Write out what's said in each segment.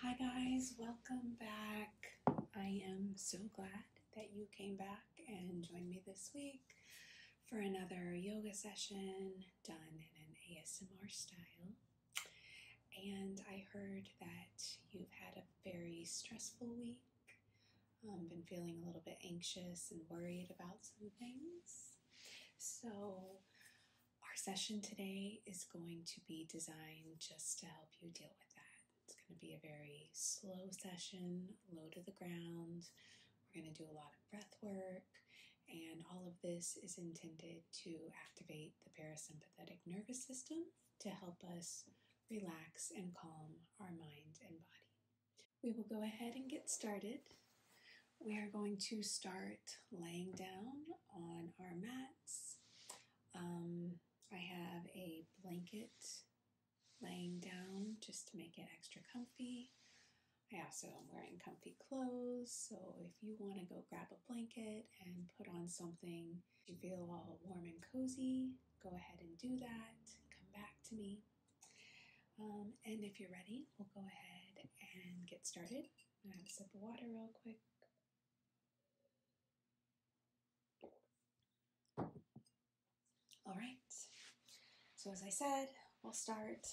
Hi guys, welcome back. I am so glad that you came back and joined me this week for another yoga session done in an ASMR style. And I heard that you've had a very stressful week, um, been feeling a little bit anxious and worried about some things. So, our session today is going to be designed just to help you deal with that. It's going to be a very slow session, low to the ground. We're going to do a lot of breath work and all of this is intended to activate the parasympathetic nervous system to help us relax and calm our mind and body. We will go ahead and get started. We are going to start laying down on our mats. Um, I have a blanket laying down just to make it extra comfy. I also am wearing comfy clothes, so if you want to go grab a blanket and put on something you feel all warm and cozy, go ahead and do that. Come back to me. Um, and if you're ready, we'll go ahead and get started. I have to sip the water real quick. All right. So as I said, we'll start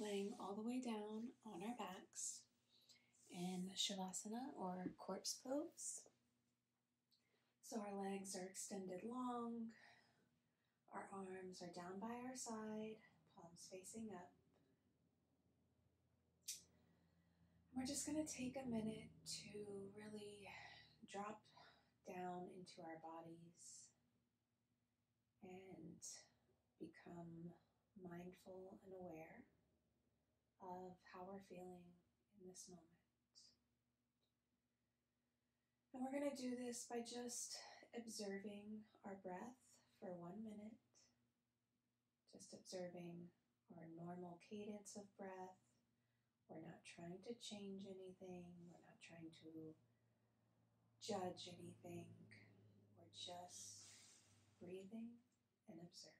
laying all the way down on our backs in Shavasana or corpse pose. So our legs are extended long, our arms are down by our side, palms facing up. We're just going to take a minute to really drop down into our bodies and become mindful and aware of how we're feeling in this moment. And we're going to do this by just observing our breath for one minute, just observing our normal cadence of breath. We're not trying to change anything, we're not trying to judge anything. We're just breathing and observing.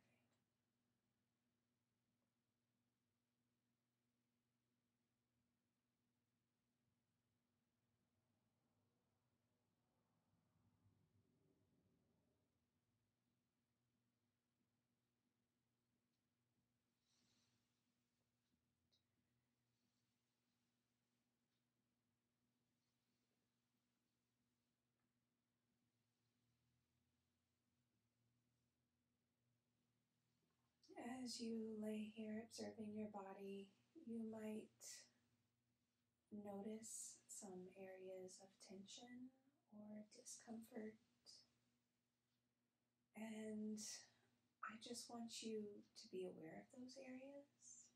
As you lay here observing your body, you might notice some areas of tension or discomfort and I just want you to be aware of those areas.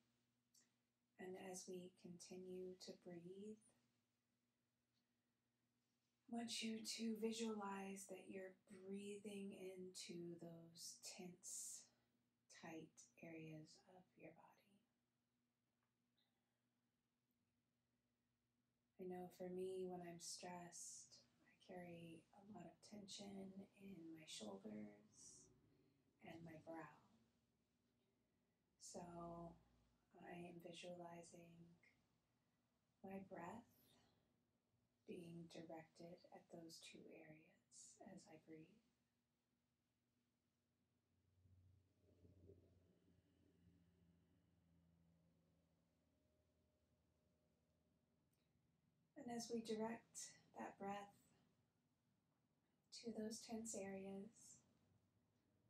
And as we continue to breathe, want you to visualize that you're breathing into those tense, tight areas of your body. I know for me, when I'm stressed, I carry a lot of tension in my shoulders and my brow. So I am visualizing my breath being directed at those two areas as I breathe. And as we direct that breath to those tense areas,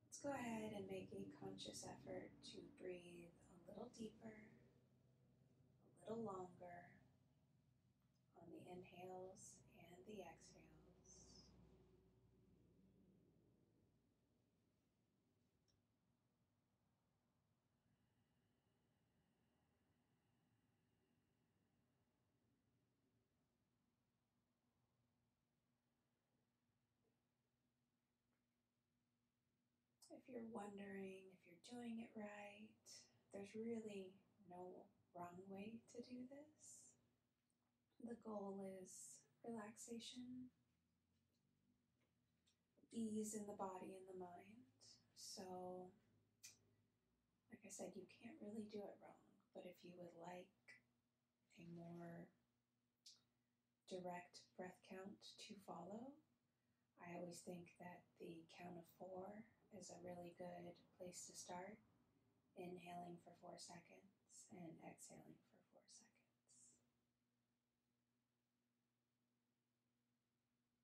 let's go ahead and make a conscious effort to breathe a little deeper, a little longer on the inhales and the exhales. If you're wondering if you're doing it right, there's really no wrong way to do this. The goal is relaxation ease in the body and the mind. So, like I said, you can't really do it wrong. But if you would like a more direct breath count to follow, I always think that the count of four is a really good place to start. Inhaling for four seconds and exhaling for four seconds.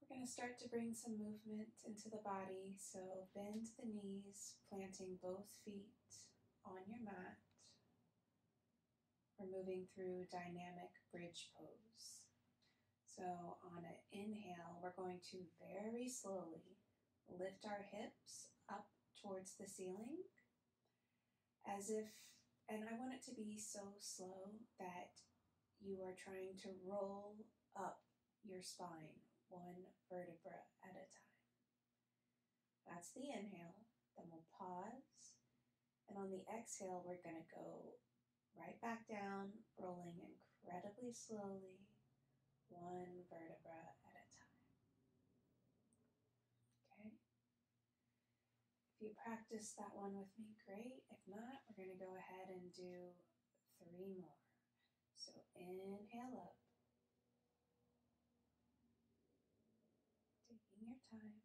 We're going to start to bring some movement into the body, so bend the knees, planting both feet on your mat. We're moving through dynamic bridge pose. So on an inhale, we're going to very slowly lift our hips up towards the ceiling as if, and I want it to be so slow that you are trying to roll up your spine one vertebra at a time. That's the inhale. Then we'll pause. And on the exhale, we're going to go right back down, rolling incredibly slowly, one vertebra at a time. Okay? If you practice that one with me, great. If not, we're going to go ahead and do three more. So inhale up. Taking your time.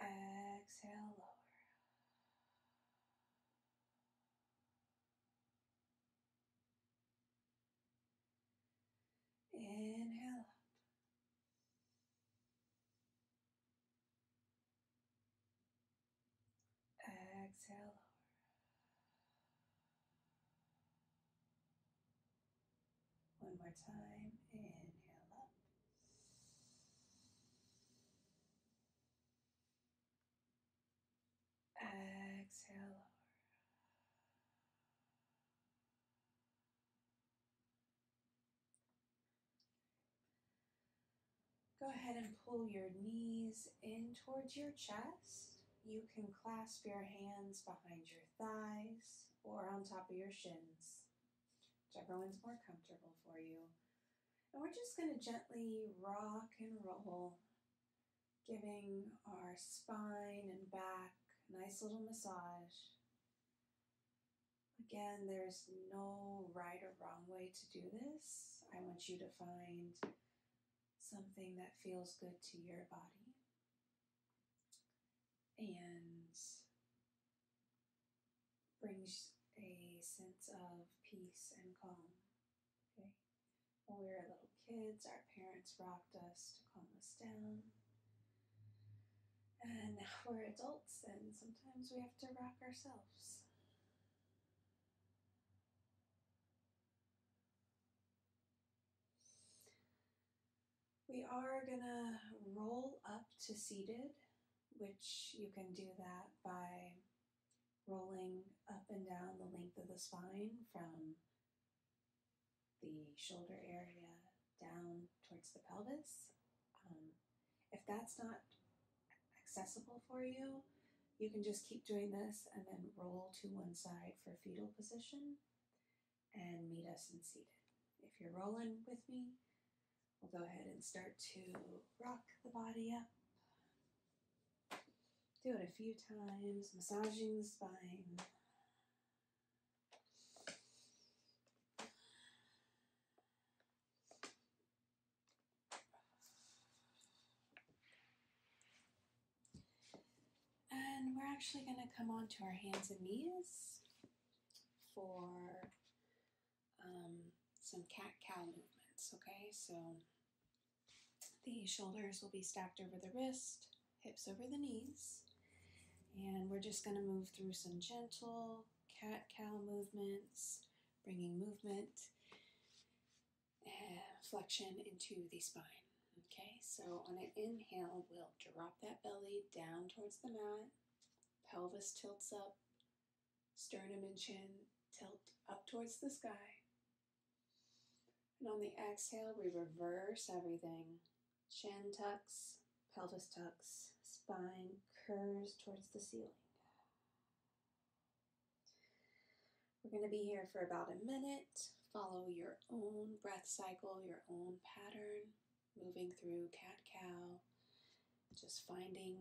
Exhale lower. Inhale out. Exhale lower. One more time. Inhale up. Exhale lower. Go ahead and pull your knees in towards your chest. You can clasp your hands behind your thighs or on top of your shins, whichever one's more comfortable for you. And we're just going to gently rock and roll giving our spine and back a nice little massage. Again, there's no right or wrong way to do this. I want you to find something that feels good to your body. And brings a sense of peace and calm. Okay. When we were little kids, our parents rocked us to calm us down. And now we're adults, and sometimes we have to rock ourselves. We are gonna roll up to seated, which you can do that by rolling up and down the length of the spine from the shoulder area down towards the pelvis. Um, if that's not accessible for you, you can just keep doing this and then roll to one side for fetal position and meet us in seated. If you're rolling with me, we'll go ahead and start to rock the body up do it a few times, massaging the spine. And we're actually going to come onto our hands and knees for um, some cat-cow movements, okay? So the shoulders will be stacked over the wrist, hips over the knees, and we're just gonna move through some gentle cat-cow movements, bringing movement and flexion into the spine. Okay, so on an inhale, we'll drop that belly down towards the mat, pelvis tilts up, sternum and chin tilt up towards the sky. And on the exhale, we reverse everything. Chin tucks, pelvis tucks, spine curves towards the ceiling. We're going to be here for about a minute. Follow your own breath cycle, your own pattern, moving through cat cow just finding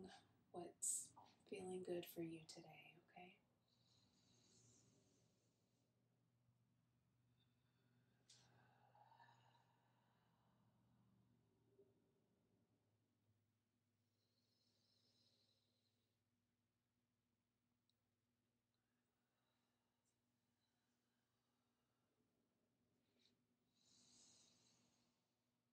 what's feeling good for you today, okay?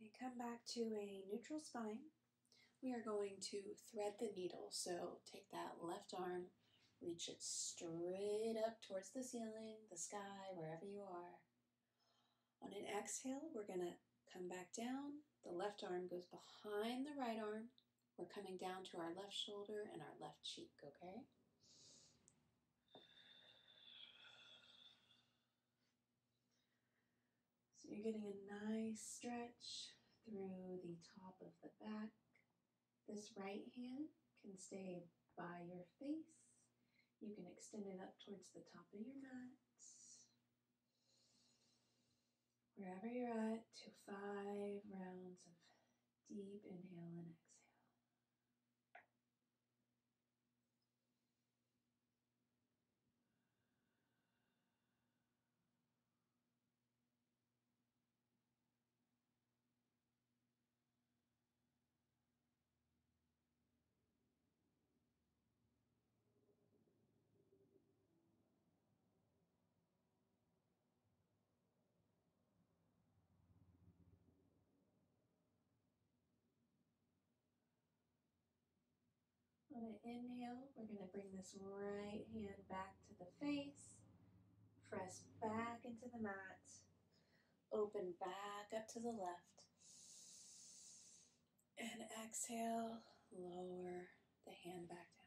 Okay, come back to a neutral spine. We are going to thread the needle, so take that left arm, reach it straight up towards the ceiling, the sky, wherever you are. On an exhale, we're going to come back down. The left arm goes behind the right arm, we're coming down to our left shoulder and our left cheek, okay? So you're getting a nice stretch through the top of the back. This right hand can stay by your face. You can extend it up towards the top of your mat. Wherever you're at, to five rounds of Deep inhale and exhale. On an inhale, we're going to bring this right hand back to the face, press back into the mat, open back up to the left, and exhale, lower the hand back down.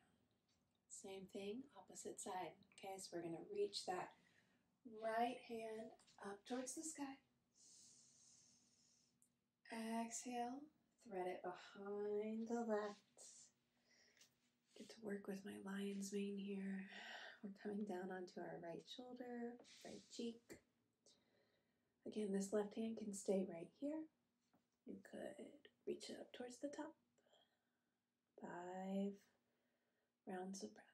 Same thing, opposite side. Okay, so we're going to reach that right hand up towards the sky. Exhale, thread it behind the left. Get to work with my lion's mane here. We're coming down onto our right shoulder, right cheek. Again, this left hand can stay right here. You could reach it up towards the top five rounds of breath.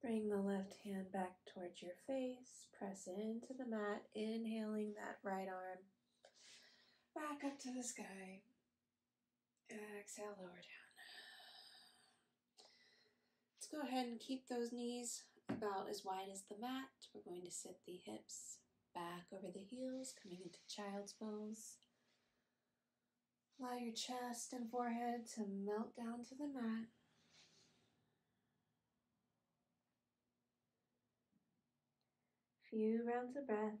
Bring the left hand back towards your face. Press into the mat, inhaling that right arm back up to the sky. Exhale, lower down. Let's go ahead and keep those knees about as wide as the mat. We're going to sit the hips back over the heels, coming into child's pose. Allow your chest and forehead to melt down to the mat. Few rounds of breath.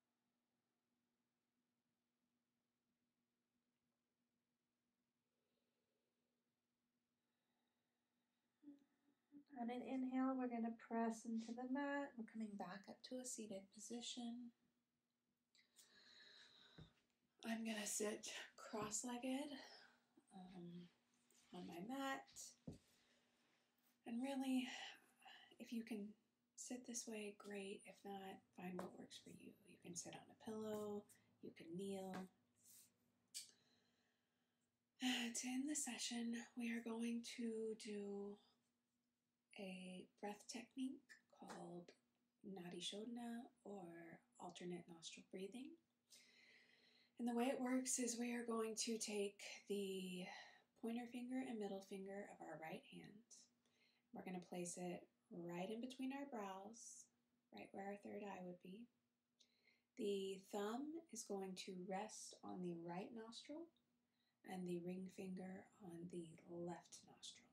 On an inhale, we're going to press into the mat. We're coming back up to a seated position. I'm going to sit cross legged um, on my mat. And really, if you can sit this way, great. If not, find what works for you. You can sit on a pillow, you can kneel. To end the session, we are going to do a breath technique called Nadi Shodana or alternate nostril breathing. And the way it works is we are going to take the pointer finger and middle finger of our right hand we're going to place it right in between our brows, right where our third eye would be. The thumb is going to rest on the right nostril and the ring finger on the left nostril.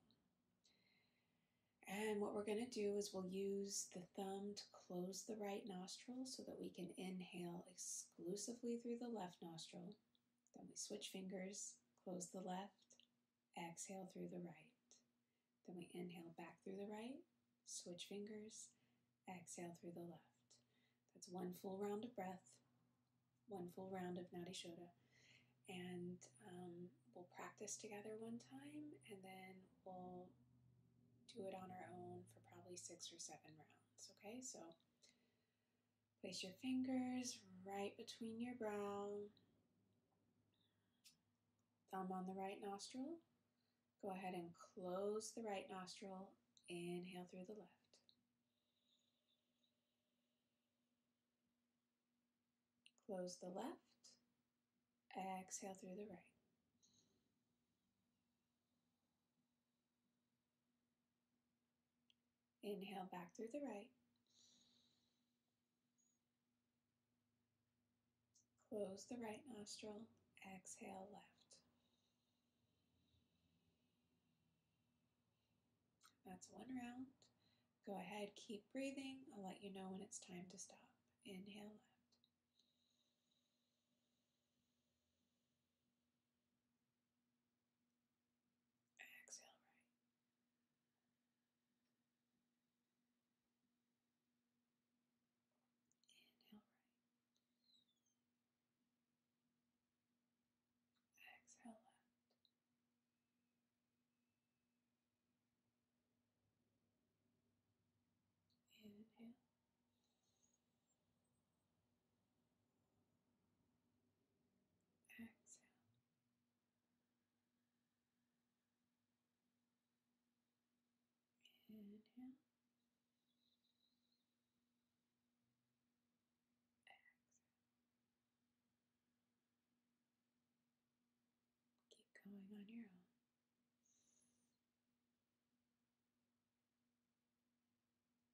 And what we're going to do is we'll use the thumb to close the right nostril so that we can inhale exclusively through the left nostril. Then we switch fingers, close the left, exhale through the right. Then we inhale back through the right, switch fingers, exhale through the left. That's one full round of breath, one full round of Nadi Shoda. And um, we'll practice together one time and then we'll do it on our own for probably six or seven rounds. Okay, so Place your fingers right between your brow, thumb on the right nostril. Go ahead and close the right nostril. Inhale through the left. Close the left. Exhale through the right. Inhale back through the right. Close the right nostril, exhale left. That's one round. Go ahead, keep breathing. I'll let you know when it's time to stop. Inhale left. Exhale right. Inhale right. Exhale left. Inhale. Exhale. Inhale. Exhale. Keep going on your own.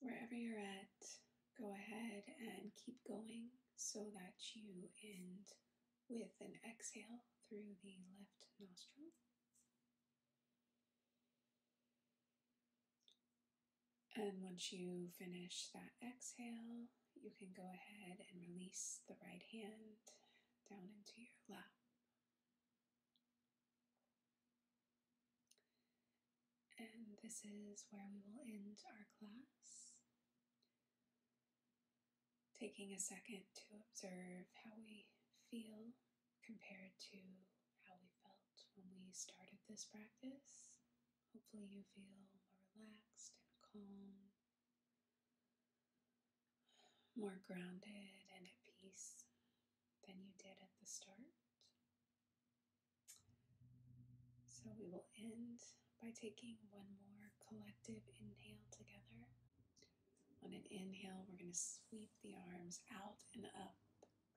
Wherever you're at, go ahead and keep going so that you end with an exhale through the left nostril. And once you finish that exhale, you can go ahead and release the right hand down into your lap. And this is where we will end our class. Taking a second to observe how we feel compared to how we felt when we started this practice. Hopefully, you feel more relaxed and calm more grounded and at peace than you did at the start. So we will end by taking one more collective inhale together. On an inhale, we're going to sweep the arms out and up,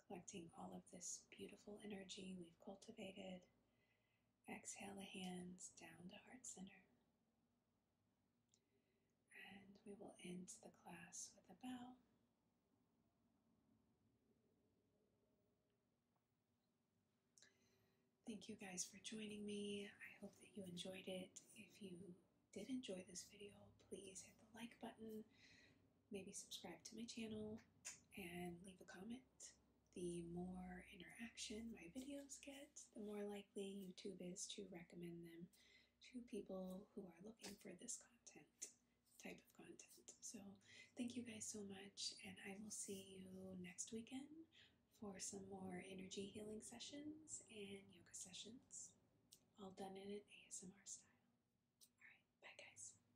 collecting all of this beautiful energy we've cultivated. Exhale the hands down to heart center. And we will end the class with a bow. Thank you guys for joining me. I hope that you enjoyed it. If you did enjoy this video, please hit the like button, maybe subscribe to my channel, and leave a comment. The more interaction my videos get, the more like. YouTube is to recommend them to people who are looking for this content type of content. So, thank you guys so much, and I will see you next weekend for some more energy healing sessions and yoga sessions, all done in an ASMR style. All right, bye guys.